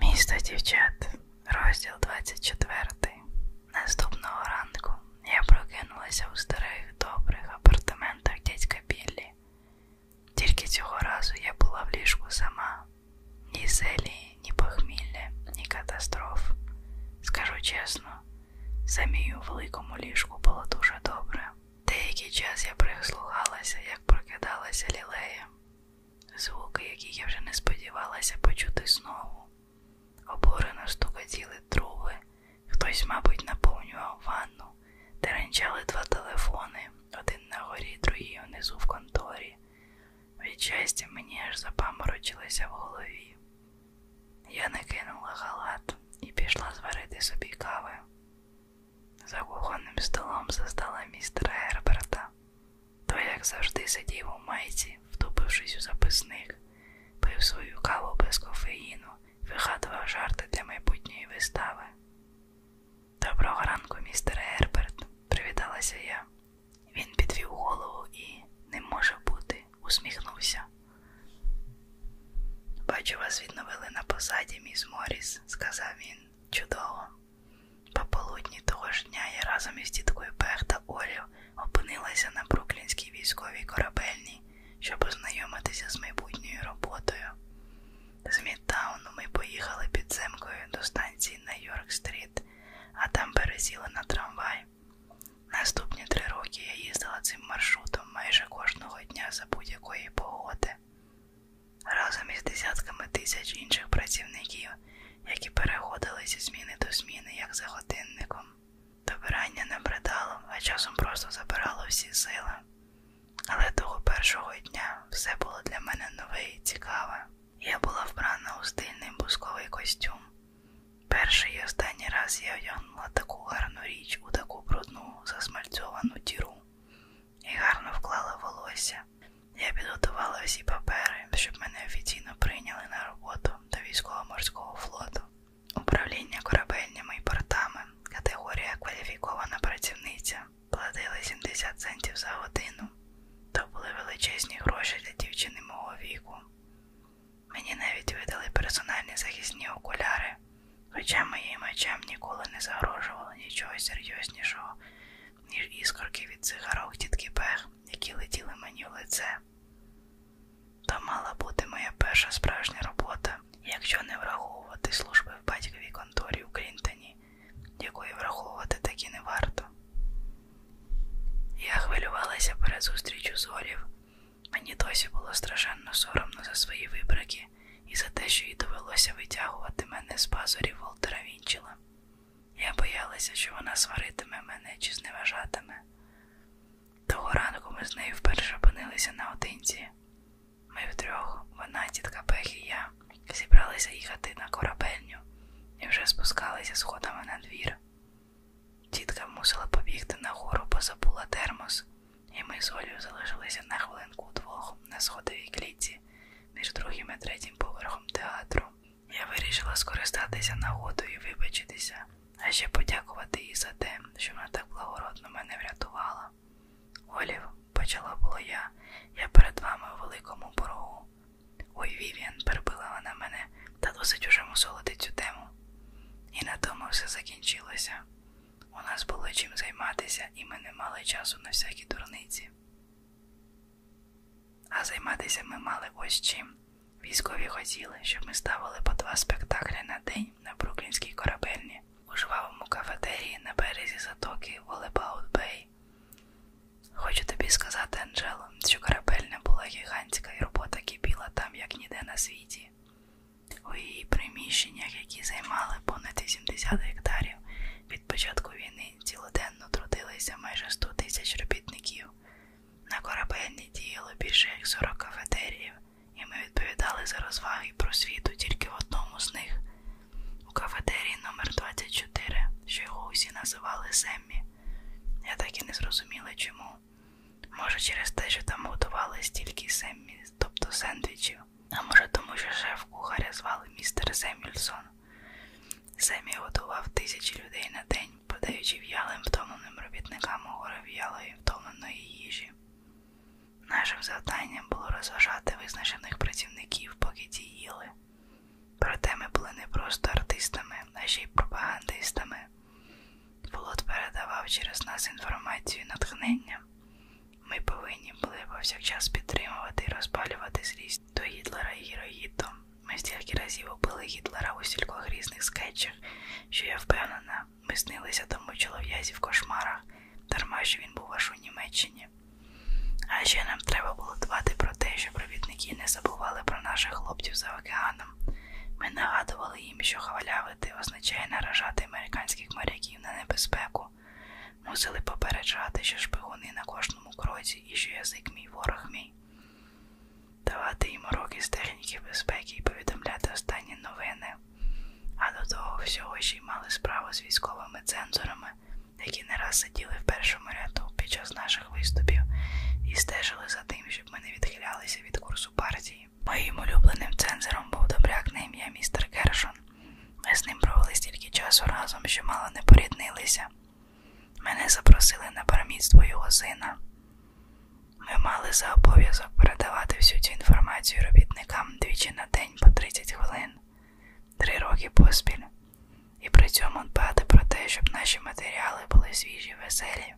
Місто дівчат, розділ 24. Наступного ранку я прокинулася у старих добрих апартаментах дядька Біллі. Тільки цього разу я була в ліжку сама. Ні зелі, ні похмілля, ні катастроф. Скажу чесно, самій у великому ліжку було дуже добре. Деякий час я прислухалася, як прокидалася лілея звуки, які я вже не сподівалася почути знову. Обурено стукотіли труби, хтось, мабуть, наповнював ванну, теренчали два телефони, один на горі, другий унизу в конторі. Від щастя, мені аж запаморочилося в голові. Я накинула халат і пішла зварити собі кави. За кухонним столом застала містера Герберта. То, як завжди, сидів у майці, втупившись у записник, пив свою каву без кофеїну, вигадував жарти для майбутньої вистави. Доброго ранку, містер Герберт, привіталася я. Він підвів голову і, не може бути, усміхнувся. Бачу, вас відновили на посаді, міс Моріс, сказав він. Чудово. Пополудні того ж дня я разом із діткою Пех та Олів опинилася на Бруклінській військовій корабельні, щоб ознайомитися з майбутньою роботою. З Мідтауну ми поїхали підземкою до станції на Йорк-стріт, а там пересіли на трамвай. Наступні три роки я їздила цим маршрутом майже кожного дня за будь-якої погоди разом із десятками тисяч інших працівників, які переходили зі зміни до зміни, як за годинником. Добирання не бридало, а часом просто забирало всі сили. Але того першого дня все було для мене нове і цікаве. Я була вбрана у стильний бусковий костюм. Перший і останній раз я одягнула таку гарну річ у таку брудну засмальцьовану діру і гарно вклала волосся. Я підготувала всі папери, щоб мене офіційно прийняли на роботу до військово-морського флоту. Управління корабельними і портами, категорія кваліфікована працівниця, платили 70 центів за годину. То були величезні гроші для дівчини мого віку. Мені навіть видали персональні захисні окуляри, хоча моїм очам ніколи не загрожувало нічого серйознішого, ніж іскорки від цигарок тітки Пех, які летіли мені в лице. Та мала бути моя перша справжня робота, якщо не враховувати служби в батьковій конторі у Крінтоні, якої враховувати таки не варто. Я хвилювалася перед зустрічю з Олів. Мені досі було страшенно соромно за свої вибрики і за те, що їй довелося витягувати мене з пазурів Волтера Вінчела. Я боялася, що вона сваритиме мене чи зневажатиме. Того ранку ми з нею вперше опинилися наодинці. Ми втрьох, вона, тітка Пех і я, зібралися їхати на корабельню і вже спускалися сходами на двір. Тітка мусила побігти нагору, бо забула термос, і ми з Олею залишилися на хвилинку двох на сходовій клітці, між другим і третім поверхом театру. Я вирішила скористатися нагодою і вибачитися, а ще подякувати їй за те, що вона так благородно мене врятувала. Олів, почала було я, я перед вами у великому боргу. Ой, Вів'ян, перебила вона мене та досить уже мусолити цю тему. І на тому все закінчилося. У нас було чим займатися, і ми не мали часу на всякі дурниці. А займатися ми мали ось чим. Військові хотіли, щоб ми ставили по два спектаклі на день на бруклінській корабельні, у жвавому кафетерії на березі затоки Волебаут-Бей. Хочу тобі сказати, Анджело, що корабельна була гігантська і робота кипіла там, як ніде на світі. У її приміщеннях, які займали понад 80 гектарів від початку війни, цілоденно Щоденно трудилися майже 100 тисяч робітників. На корабельні діяло більше як 40 кафетеріїв, і ми відповідали за розваги і просвіту тільки в одному з них. У кафетерії номер 24 що його усі називали Семмі. Я так і не зрозуміла чому. Може, через те, що там готували стільки Семмі, тобто сендвічів, а може тому, що шеф кухаря звали містер Семюльсон. Семі готував тисячі людей на день, подаючи в'ялим втомленим робітникам гори в'ялої втомленої їжі. Нашим завданням було розважати визначених працівників, поки ті їли. Проте ми були не просто артистами, а ще й пропагандистами. Волод передавав через нас інформацію і натхнення. Ми повинні були повсякчас підтримувати і розпалювати зріст до Гітлера і Гіроїдо. Ми стільки разів убили Гітлера у стількох різних скетчах, що я впевнена, ми снилися тому чолов'язі в кошмарах, дарма що він був аж у Німеччині. А ще нам треба було дбати про те, що провідники не забували про наших хлопців за океаном. Ми нагадували їм, що хвалявити означає наражати американських моряків на небезпеку, Мусили попереджати, що шпигуни на кожному кроці і що язик мій ворог мій. Давати їм уроки з техніки безпеки і повідомляти останні новини, а до того всього ще й мали справу з військовими цензорами, які не раз сиділи в першому ряду під час наших виступів і стежили за тим, щоб ми не відхилялися від курсу партії. Моїм улюбленим цензором був добряк на ім'я містер Кершон. Ми з ним провели стільки часу разом, що мало не поріднилися. Мене запросили на перемітство його сина. Ми мали за обов'язок передавати всю цю інформацію робітникам двічі на день по 30 хвилин, три роки поспіль, і при цьому дбати про те, щоб наші матеріали були свіжі, веселі,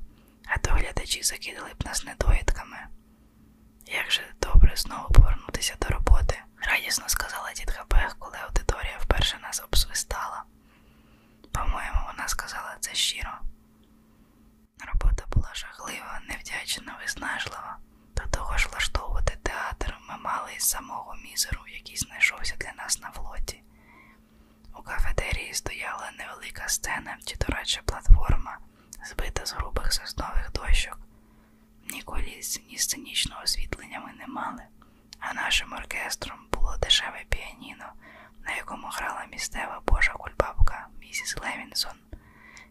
а то глядачі закидали б нас недоїдками. Як же добре знову повернутися до роботи? радісно сказала тітка Бех, коли аудиторія вперше нас обсвистала. По-моєму, вона сказала це щиро. Робота була жахлива, невдячна, виснажлива. До того ж влаштовувати театр ми мали із самого мізеру, який знайшовся для нас на флоті. У кафетерії стояла невелика сцена чи то радше платформа, збита з грубих соснових дощок, Ніколі ні сценічного освітлення ми не мали, а нашим оркестром було дешеве піаніно, на якому грала місцева божа кульбабка місіс Левінсон,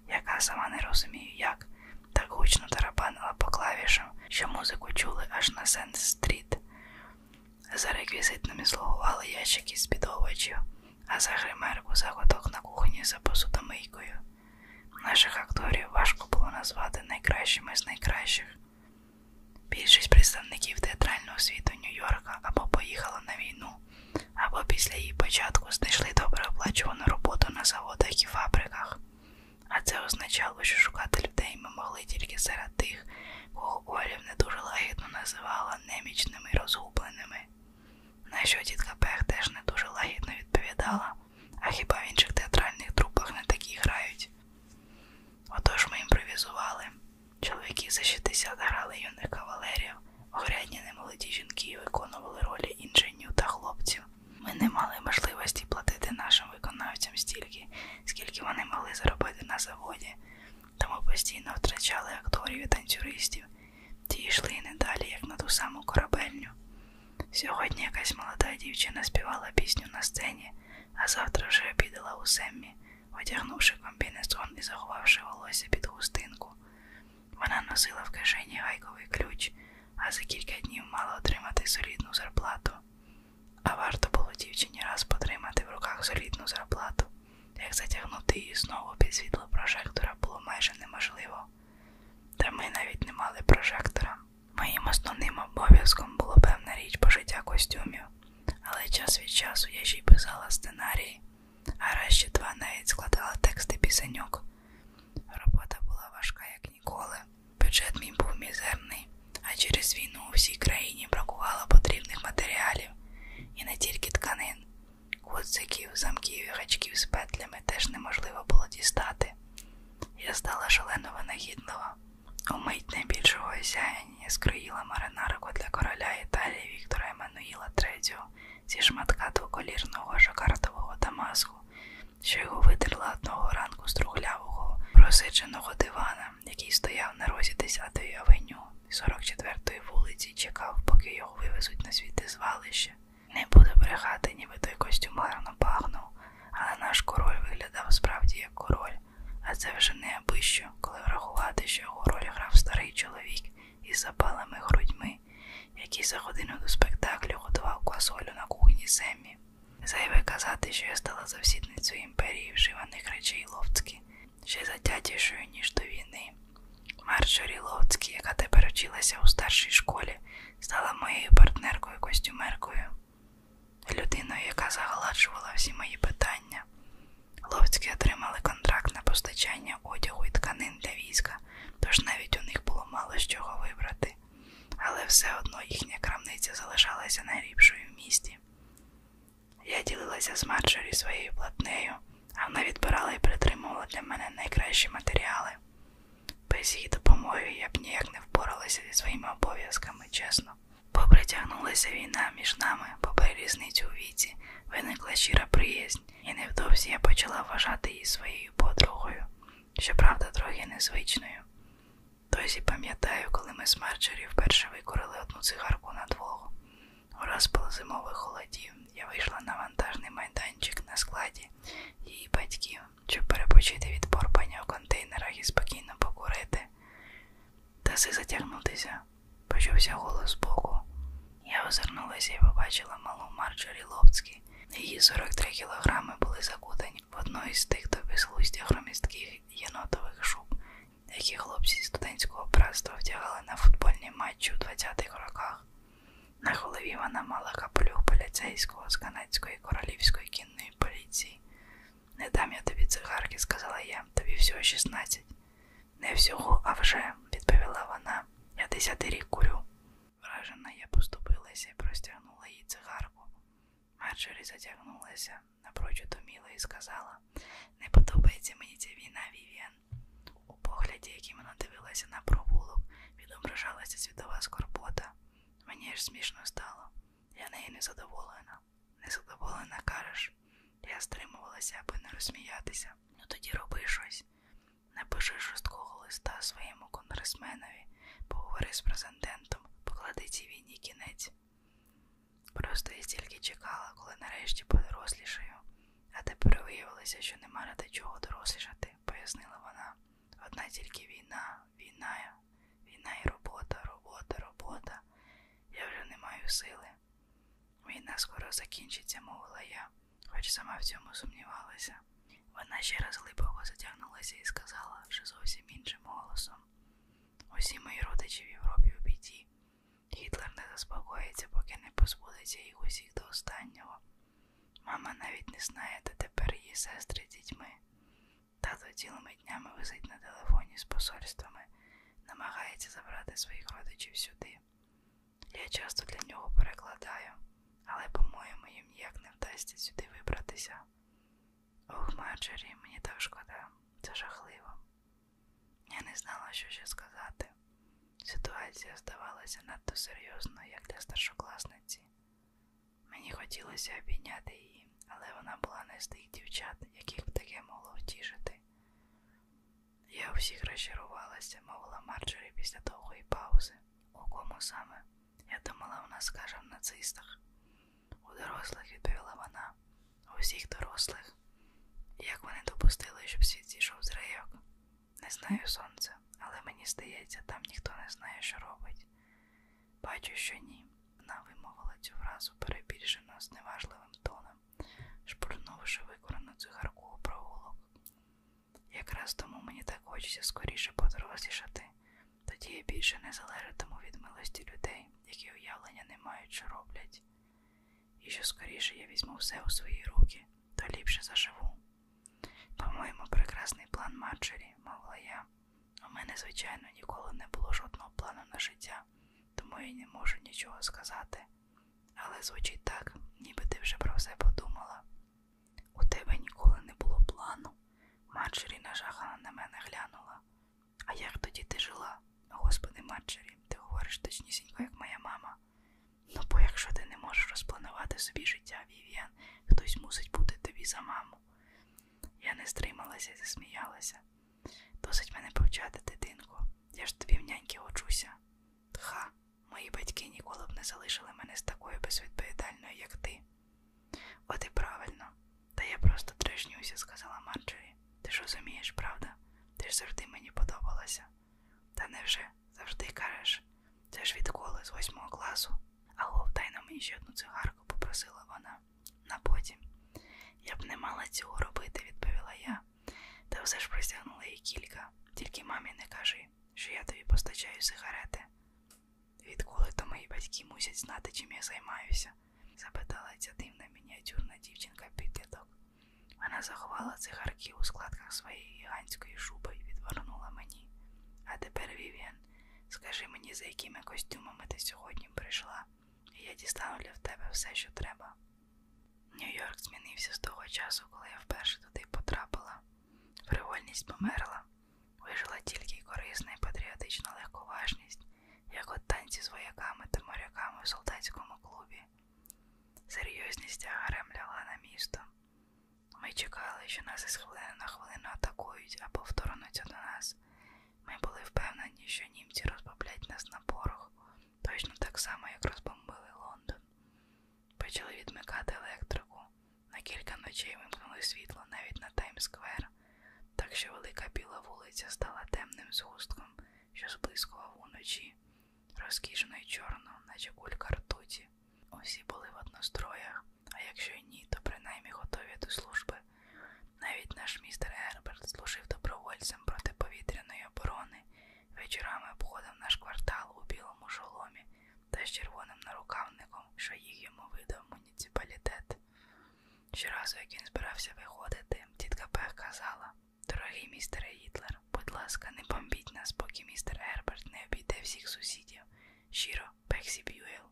яка сама не розумію як, так гучно тарабанила по клавішам, що музику чули аж на Сент Стріт. За реквізитними слугували ящики з підовочів, а за гримерку заготок на кухні за посудомийкою. Наших акторів важко було назвати найкращими з найкращих. Більшість представників театрального світу Нью-Йорка або поїхала на війну, або після її початку знайшли добре оплачувану роботу на заводах і фабриках. А це означало, що шукати людей ми могли тільки серед тих, кого Олів не дуже лагідно називала немічними і розгубленими. На що тітка Пех теж не дуже лагідно відповідала. А хіба в інших театральних трупах не такі грають? Отож ми імпровізували. Чоловіки за 60 грали юних кавалерів, огрядні немолоді жінки виконували ролі інженю та хлопців. Ми не мали можливості платити нашим виконавцям стільки, скільки вони могли заробити на заводі, тому постійно втрачали акторів і танцюристів, ті йшли не далі, як на ту саму корабельню. Сьогодні якась молода дівчина співала пісню на сцені, а завтра вже обідала у Семмі, одягнувши комбінезон і заховавши волосся під хустинку. Вона носила в кишені гайковий ключ, а за кілька днів мала отримати солідну зарплату. А варто було дівчині раз потримати в руках солідну зарплату, як затягнути її знову під світло прожектора було майже неможливо. Та ми навіть не мали прожектора. Моїм основним обов'язком було певна річ пошиття костюмів, але час від часу я ще й писала сценарії, а раз ще два навіть складала тексти пісеньок. Робота була важка, як ніколи. Бюджет мій був мізерний, а через війну у всій країні бракувало потрібних матеріалів і не тільки тканин. Гудзиків, замків і гачків з петлями теж неможливо було дістати. Я стала шалено винагідлива. Умить найбільшого осяяння скроїла маринарку для короля Італії Віктора Еммануїла III зі шматка двоколірного жакартового Дамаску, що його витерла одного ранку з трухлявого, просиченого дивана, який стояв на розі 10-ї авеню 44-ї вулиці і чекав, поки його вивезуть на звідти звалище. Не буду брехати, ніби той костюм гарно пахнув, але наш король виглядав справді як король, а це вже не аби що, коли врахувати, що його роль грав старий чоловік із запалими грудьми, який за годину до спектаклю готував квасолю на кухні Семмі. Зайве казати, що я стала завсідницею імперії вживаних речей Ловцькі, ще затятішою, ніж до війни. Марджорі Ловцькі, яка тепер училася у старшій школі, стала моєю партнеркою-костюмеркою людиною, яка загладжувала всі мої питання. Ловцькі отримали контракт на постачання одягу і тканин для війська, тож навіть у них було мало з чого вибрати, але все одно їхня крамниця залишалася найліпшою в місті. Я ділилася з Марджорі своєю платнею, а вона відбирала і притримувала для мене найкращі матеріали. Без її допомоги я б ніяк не впоралася зі своїми обов'язками, чесно. Попритягнулася війна між нами, попри різницю у віці, виникла щира приязнь, і невдовзі я почала вважати її своєю подругою, щоправда, трохи незвичною. Досі пам'ятаю, коли ми з Марджорі вперше викорили одну цигарку на двох. У розпал зимових холодів я вийшла на вантажний майданчик на складі її батьків щоб перепочити від порпання у контейнерах і спокійно покурити. Таси затягнутися, почувся голос збоку. Я озирнулася і побачила малу Марджорі Ловцькі. Її 43 кілограми були закутані в одну із тих безглуздях громістких єнотових шуб, які хлопці зі студентського братства втягали на футбольні матчі у 20-х роках. На голові вона мала капелюх поліцейського з канадської королівської кінної районної поліції. Не дам я тобі цигарки, сказала я, тобі всього 16. Не всього, а вже, відповіла вона. Я десятий рік курю. Вражена я поступилася і простягнула їй цигарку. Марджорі затягнулася, напрочуд уміла і сказала: Не подобається мені ця війна, Вівіан. У погляді, яким вона дивилася на провулок, відображалася світова скорбота. Мені ж смішно стало. Я неї незадоволена. Незадоволена, кажеш. Я стримувалася, аби не розсміятися. Ну тоді роби щось. Напиши жорсткого листа своєму конгресменові, поговори з президентом, поклади цій війні кінець. Просто я тільки чекала, коли нарешті подорослішаю, а тепер виявилося, що нема ради чого дорослішати, пояснила вона. Одна тільки війна, війна, війна і робота, робота, робота. Я вже не маю сили. Війна скоро закінчиться, мовила я, хоч сама в цьому сумнівалася. Вона ще раз глибоко затягнулася і сказала вже зовсім іншим голосом: усі мої родичі в Європі у біді. Гітлер не заспокоїться, поки не позбудеться їх усіх до останнього. Мама навіть не знає, де тепер її сестри з дітьми. Тато цілими днями висить на телефоні з посольствами, намагається забрати своїх родичів сюди. Я часто для нього перекладаю, але, по-моєму, їм ніяк не вдасться сюди вибратися. Ох, Марджері, мені так шкода, це жахливо. Я не знала, що ще сказати. Ситуація здавалася надто серйозною, як для старшокласниці. Мені хотілося обійняти її, але вона була не з тих дівчат, яких б таке могло втішити. Я у всіх розчарувалася, мовила Марджорі після довгої паузи. У кому саме? Я думала, вона скаже в нацистах. У дорослих, відповіла вона, у всіх дорослих. Як вони допустили, щоб світ зійшов з рейок? Не знаю сонце, але мені здається, там ніхто не знає, що робить. Бачу, що ні. Вона вимовила цю фразу перебільшено з неважливим тоном, шпурнувши викорену цигарку у провулок. Якраз тому мені так хочеться скоріше подорослішати, тоді я більше не залежатиму від милості людей, які уявлення не мають, що роблять. І що скоріше я візьму все у свої руки, то ліпше заживу. По-моєму, прекрасний план Марджері, мовила я, у мене, звичайно, ніколи не було жодного плану на життя, тому я не можу нічого сказати. Але звучить так, ніби ти вже про все подумала. У тебе ніколи не було плану. Марджері нажахана на мене глянула. А як тоді ти жила? Господи, Марджері, ти говориш точнісінько, як моя мама. Ну, бо якщо ти не можеш розпланувати собі життя, Вів'ян, хтось мусить бути тобі за маму маму. Я не стрималася і засміялася. Досить мене повчати, дитинку. Я ж тобі в няньки учуся. Тха, мої батьки ніколи б не залишили мене з такою безвідповідальною, як ти. От і правильно, та я просто трешнюся, сказала Марджорі. Ти ж розумієш, правда? Ти ж завжди мені подобалася. Та невже завжди кажеш, це ж відколи з восьмого класу. Алло, дай на мені ще одну цигарку, попросила вона. На потім. Я б не мала цього робити, відповіла я. Та все ж простягнула їй кілька. Тільки мамі не кажи, що я тобі постачаю сигарети. Відколи то мої батьки мусять знати, чим я займаюся? запитала ця дивна мініатюрна дівчинка підліток. Вона заховала цигарки у складках своєї гігантської шуби і відвернула мені. А тепер Вівіан Морен, скажи мені, за якими костюмами ти сьогодні прийшла, і я дістану для тебе все, що треба. Нью-Йорк змінився з того часу, коли я вперше туди потрапила. Фривольність померла, вижила тільки корисна і патріотична легковажність, як от танці з вояками та моряками в солдатському клубі. Серйозність агарем лягла на місто. Ми чекали, що нас із хвилини на хвилину атакують або вторгнуться до нас. Ми були впевнені, що німці розбомблять нас на порох, точно так само, як розбомбили Лондон. Почали відмикати електрику. На кілька ночей вимкнули світло навіть на Таймсквер, так що велика біла вулиця стала темним згустком, що зблискував уночі, розкішено й чорно, наче кулька ртуті. Усі були в одностроях а якщо й ні, то принаймні готові до служби. Навіть наш містер Герберт служив добровольцем протиповітряної оборони, вечорами обходив наш квартал у білому шоломі та з червоним нарукавником, що їх йому видав муніципалітет. Щоразу, як він збирався виходити, тітка Пех казала Дорогий містере Гітлер, будь ласка, не бомбіть нас, поки містер Герберт не обійде всіх сусідів. Щиро Пексі Б'юел сил.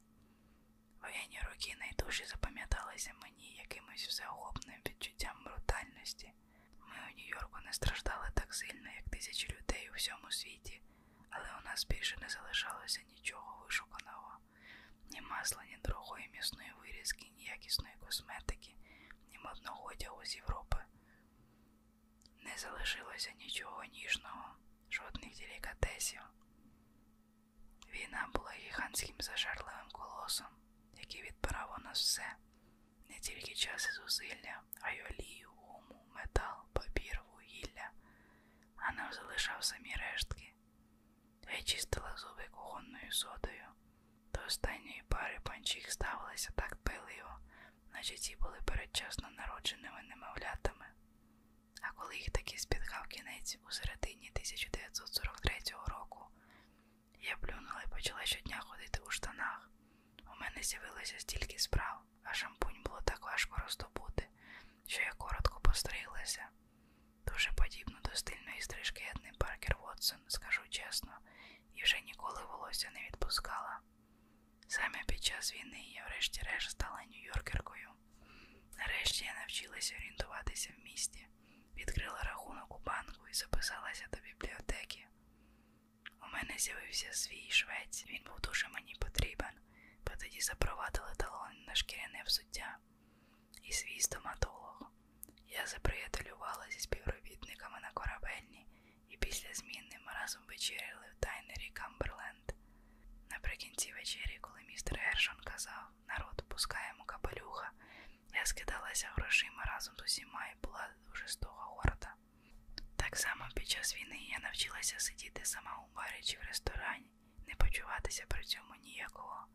Воєнні роки найдужі запам'яталися мені якимось всеохопним відчуттям брутальності. Ми у Нью-Йорку не страждали так сильно, як тисячі людей у всьому світі, але у нас більше не залишалося нічого вишуканого, ні масла, ні дорогої місної вирізки, ні якісної косметики, ні модного одягу з Європи. Не залишилося нічого ніжного, жодних делікатесів. Війна була гігантським зажерливим колосом, який відбирав у нас все, не тільки час і зусилля, а й олію, гуму, метал, папір, вугілля, а нам залишав самі рештки. Я чистила зуби кухонною содою. До останньої пари панчіх ставилися так пиливо, наче ці були передчасно народженими немовлятами. А коли їх таки спіткав кінець у середині 1943 року, я плюнула і почала щодня ходити у штанах. У мене з'явилося стільки справ, а шампунь було так важко роздобути, що я коротко постриглася. Дуже подібно до стильної стрижки Едни Паркер Вотсон, скажу чесно, і вже ніколи волосся не відпускала. Саме під час війни я врешті-решт стала нью-йоркеркою. Нарешті я навчилася орієнтуватися в місті, відкрила рахунок у банку і записалася до бібліотеки. У мене з'явився свій швець, він був дуже мені потрібен, бо тоді запровадили талон на шкіряне взуття і свій стоматолог. Я заприятелювала зі співробітниками на корабельні і після зміни ми разом вечеряли в тайнері Камберленд акцент. Наприкінці вечері, коли містер Гершон казав народ, пускаємо капелюха, я скидалася грошима разом з усіма і була дуже стога горда. Так само під час війни я навчилася сидіти сама у барі чи в ресторані, не почуватися при цьому ніякого.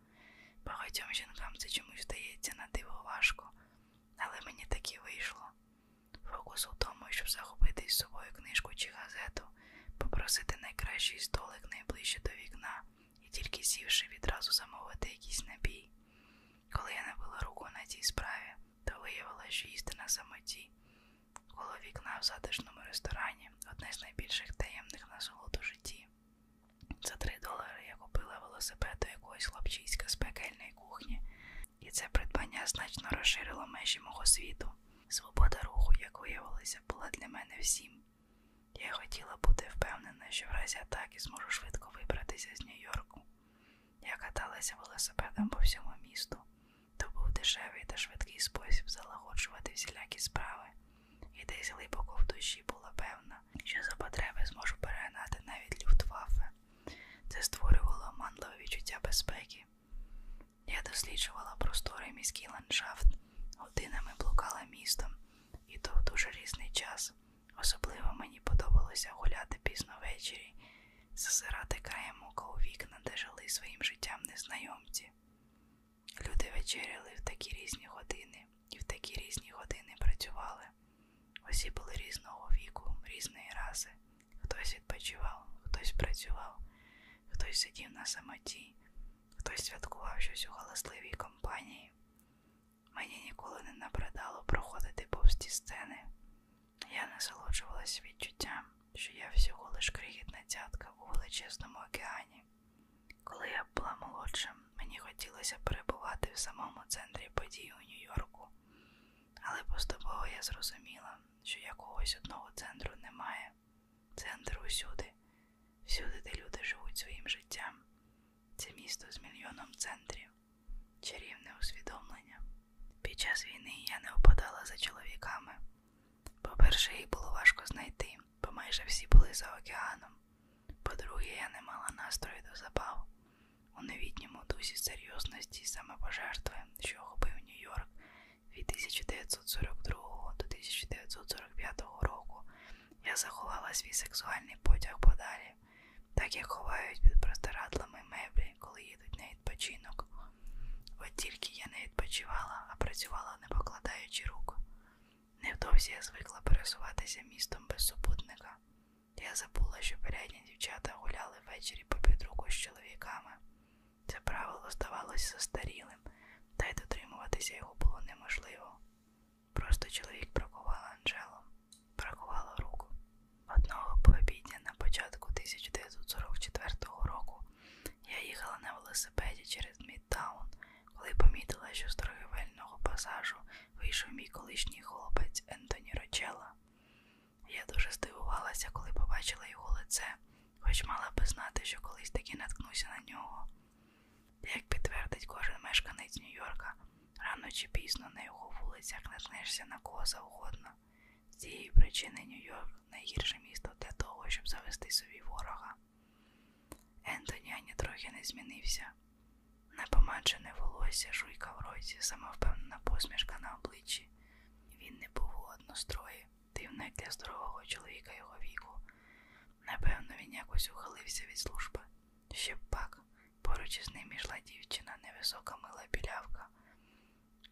Багатьом жінкам це чомусь здається на диво важко, але мені таки вийшло. Фокус у тому, щоб захопити із собою книжку чи газету, попросити найкращий столик найближче до вікна і тільки сівши відразу замовити якийсь набій. Коли я набила руку на цій справі, то виявила, що їсти на самоті. Коло вікна в затишному ресторані одне з найбільших таємних насолод у житті. За три долари я купила велосипед до якогось хлопчиська з пекельної кухні, і це придбання значно розширило межі мого світу. Свобода руху, як виявилося, була для мене всім. Я хотіла бути впевнена, що в разі атаки зможу швидко вибратися з Нью-Йорку. Я каталася велосипедом по всьому місту. То був дешевий та швидкий спосіб залагоджувати всілякі справи, і десь глибоко в душі була певна, що за потреби зможу перегнати навіть люфтваффе. Це створювало манливе відчуття безпеки. Америки. Я досліджувала простори міський ландшафт, годинами блукала містом, і то в дуже різний час. Особливо мені подобалося гуляти пізно ввечері, засирати краєм ока у вікна, де жили своїм життям незнайомці. Люди вечеряли в такі різні години і в такі різні години працювали. Усі були різного віку, різної раси. Хтось відпочивав, хтось працював, хтось сидів на самоті, хтось святкував щось у галасливій компанії. Мені ніколи не набридало проходити повз ті сцени. Я насолоджувалась відчуттям, що я всього лиш крихітна цятка у величезному океані. Коли я була молодшим, мені хотілося перебувати в самому центрі подій у Нью-Йорку, але поступово я зрозуміла, що якогось одного центру немає. Центр усюди, всюди, де люди живуть своїм життям. Це місто з мільйоном центрів, чарівне усвідомлення. Під час війни я не опадала за чоловіками. По-перше, їх було важко знайти, бо майже всі були за океаном. По-друге, я не мала настрою до забав. У новітньому дусі серйозності і самопожертви, що охопив Нью-Йорк, від 1942 до 1945 року я заховала свій сексуальний потяг подалі, так як ховають під простирадлами меблі, коли їдуть на відпочинок. От тільки я не відпочивала, а працювала не покладаючи рук. Невдовзі я звикла пересуватися містом без супутника. Я забула, що порядні дівчата гуляли ввечері по підруку з чоловіками. Це правило здавалось застарілим, та й дотримуватися його було неможливо. Просто чоловік бракував Анжелу, бракувало руку. Одного пообідня на початку 1944 року я їхала на велосипеді через Мідтаун, коли помітила, що з торгівельного пасажу вийшов мій колишній хлопець Ентоні Рочела. Я дуже здивувалася, коли побачила його лице, хоч мала би знати, що колись таки наткнуся на нього. Як підтвердить кожен мешканець Нью-Йорка, рано чи пізно на його вулицях наткнешся на кого завгодно. З цієї причини Нью-Йорк найгірше місто для того, щоб завести собі ворога. Ентоні ані трохи не змінився. Непомаджене волосся, жуйка в роті, самовпевнена посмішка на обличчі. Він не був у однострої. Дивне для здорового чоловіка його віку. Напевно, він якось ухилився від служби. Ще б пак, поруч із ним йшла дівчина, невисока мила білявка.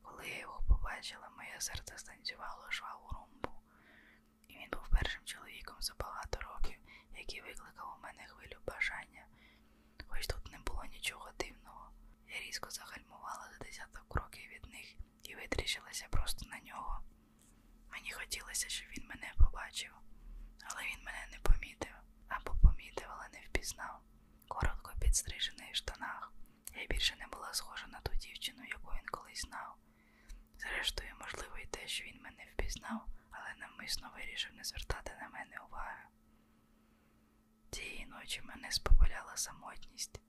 Коли я його побачила, моє серце станцювало жваву румбу, і він був першим чоловіком за багато років, який викликав у мене хвилю бажання, хоч тут не було нічого дивного. Я різко загальмувала за 10 за кроки від них і витріщилася просто на нього. Мені хотілося, щоб він мене побачив, але він мене не помітив або помітив, але не впізнав. Коротко підстрижений в штанах. Я більше не була схожа на ту дівчину, яку він колись знав. Зрештою, можливо, і те, що він мене впізнав, але навмисно вирішив не звертати на мене уваги. Тієї ночі мене спопиляла самотність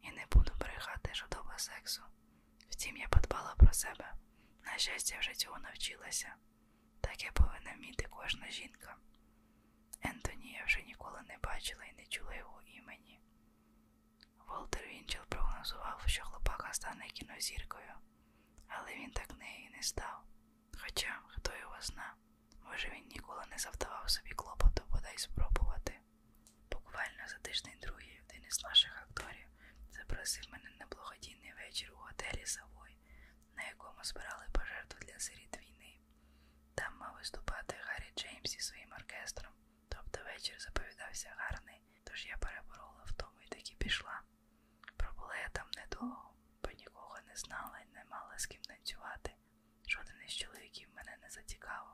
і не буду брехати жодоба сексу. Втім, я подбала про себе. На щастя, вже цього навчилася, так я повинна вміти кожна жінка. Ентонія вже ніколи не бачила і не чула його імені. Волтер Вінчел прогнозував, що хлопака стане кінозіркою, але він так нею і не став. Хоча, хто його знає. Може, він ніколи не завдавав собі клопоту, бодай спробувати. Буквально за тиждень другий один із наших акторів запросив мене на благодійний вечір у готелі Савой, на якому збирали пожертву для сиріт війни. Там мав виступати Гаррі Джеймс зі своїм оркестром, тобто вечір заповідався гарний, тож я переборола втому і таки пішла. Пробула я там недовго, бо нікого не знала і не мала з ким танцювати. Жоден із чоловіків мене не зацікавив.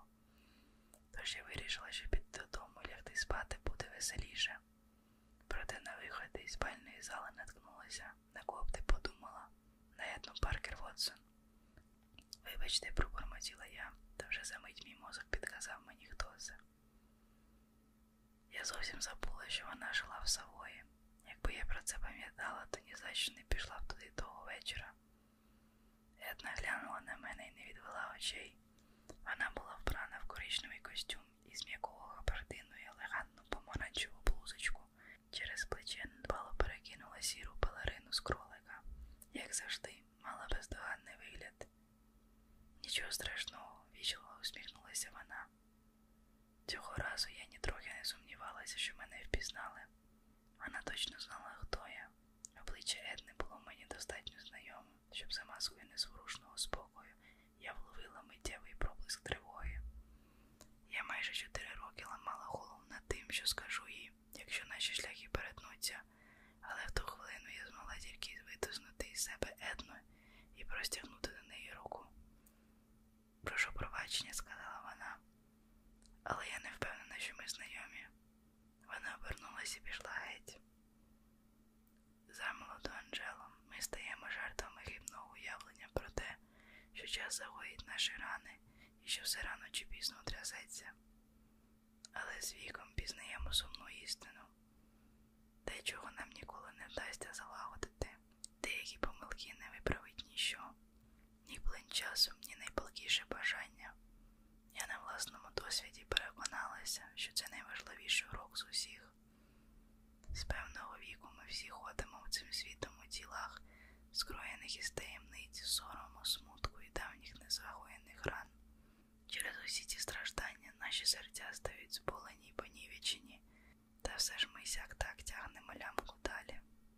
Тож я вирішила, що під додому лягти спати буде веселіше. Проте на виході із спальної зали наткнулася, на коптик подумала на Етну Паркер Вотсон. Вибачте, пробормотіла я, та вже за мить мій мозок підказав мені хто це. Я зовсім забула, що вона жила в Савої. Якби я про це пам'ятала, то ні за що не пішла б туди того вечора, Една глянула на мене і не відвела очей. Вона була вбрана в коричневий костюм із м'якого габардину і елегантну помаранчеву блузочку. Через плече надбало перекинула сіру пелерину з кролика. Як завжди, мала бездоганний вигляд. Нічого страшного, вічливо усміхнулася вона. Цього разу я нітрохи не сумнівалася, що мене впізнали. Вона точно знала, хто я. Обличчя Едни було мені достатньо знайоме, щоб за маскою незворушного спокою я вловила миттєвий проблиск тривоги. Я майже чотири роки ламала голову над тим, що скажу їй, якщо наші шляхи перетнуться, але в ту хвилину я змогла тільки витиснути із себе Едну і простягнути до неї руку. Прошу пробачення, сказала вона, але я не впевнена, що ми знайомі. Вона обернулася і пішла геть. Замолоду Анджелом ми стаємо жертвами хибного уявлення про те, що час загоїть наші рани і що все рано чи пізно трясеться. Але з віком пізнаємо сумну істину, те, чого нам ніколи не вдасться залагодити, деякі помилки не виправить ніщо, ні плин часу, ні найпалкіше бажання. Я на власному досвіді переконалася, що це найважливіший урок з усіх. З певного віку ми всі ходимо в цим світом у тілах, скроєних із таємниць, сорому, смутку і давніх незагоєних ран. Через усі ці страждання наші серця стають зболені й понівечені, та все ж ми сяк так тягнемо лямку далі.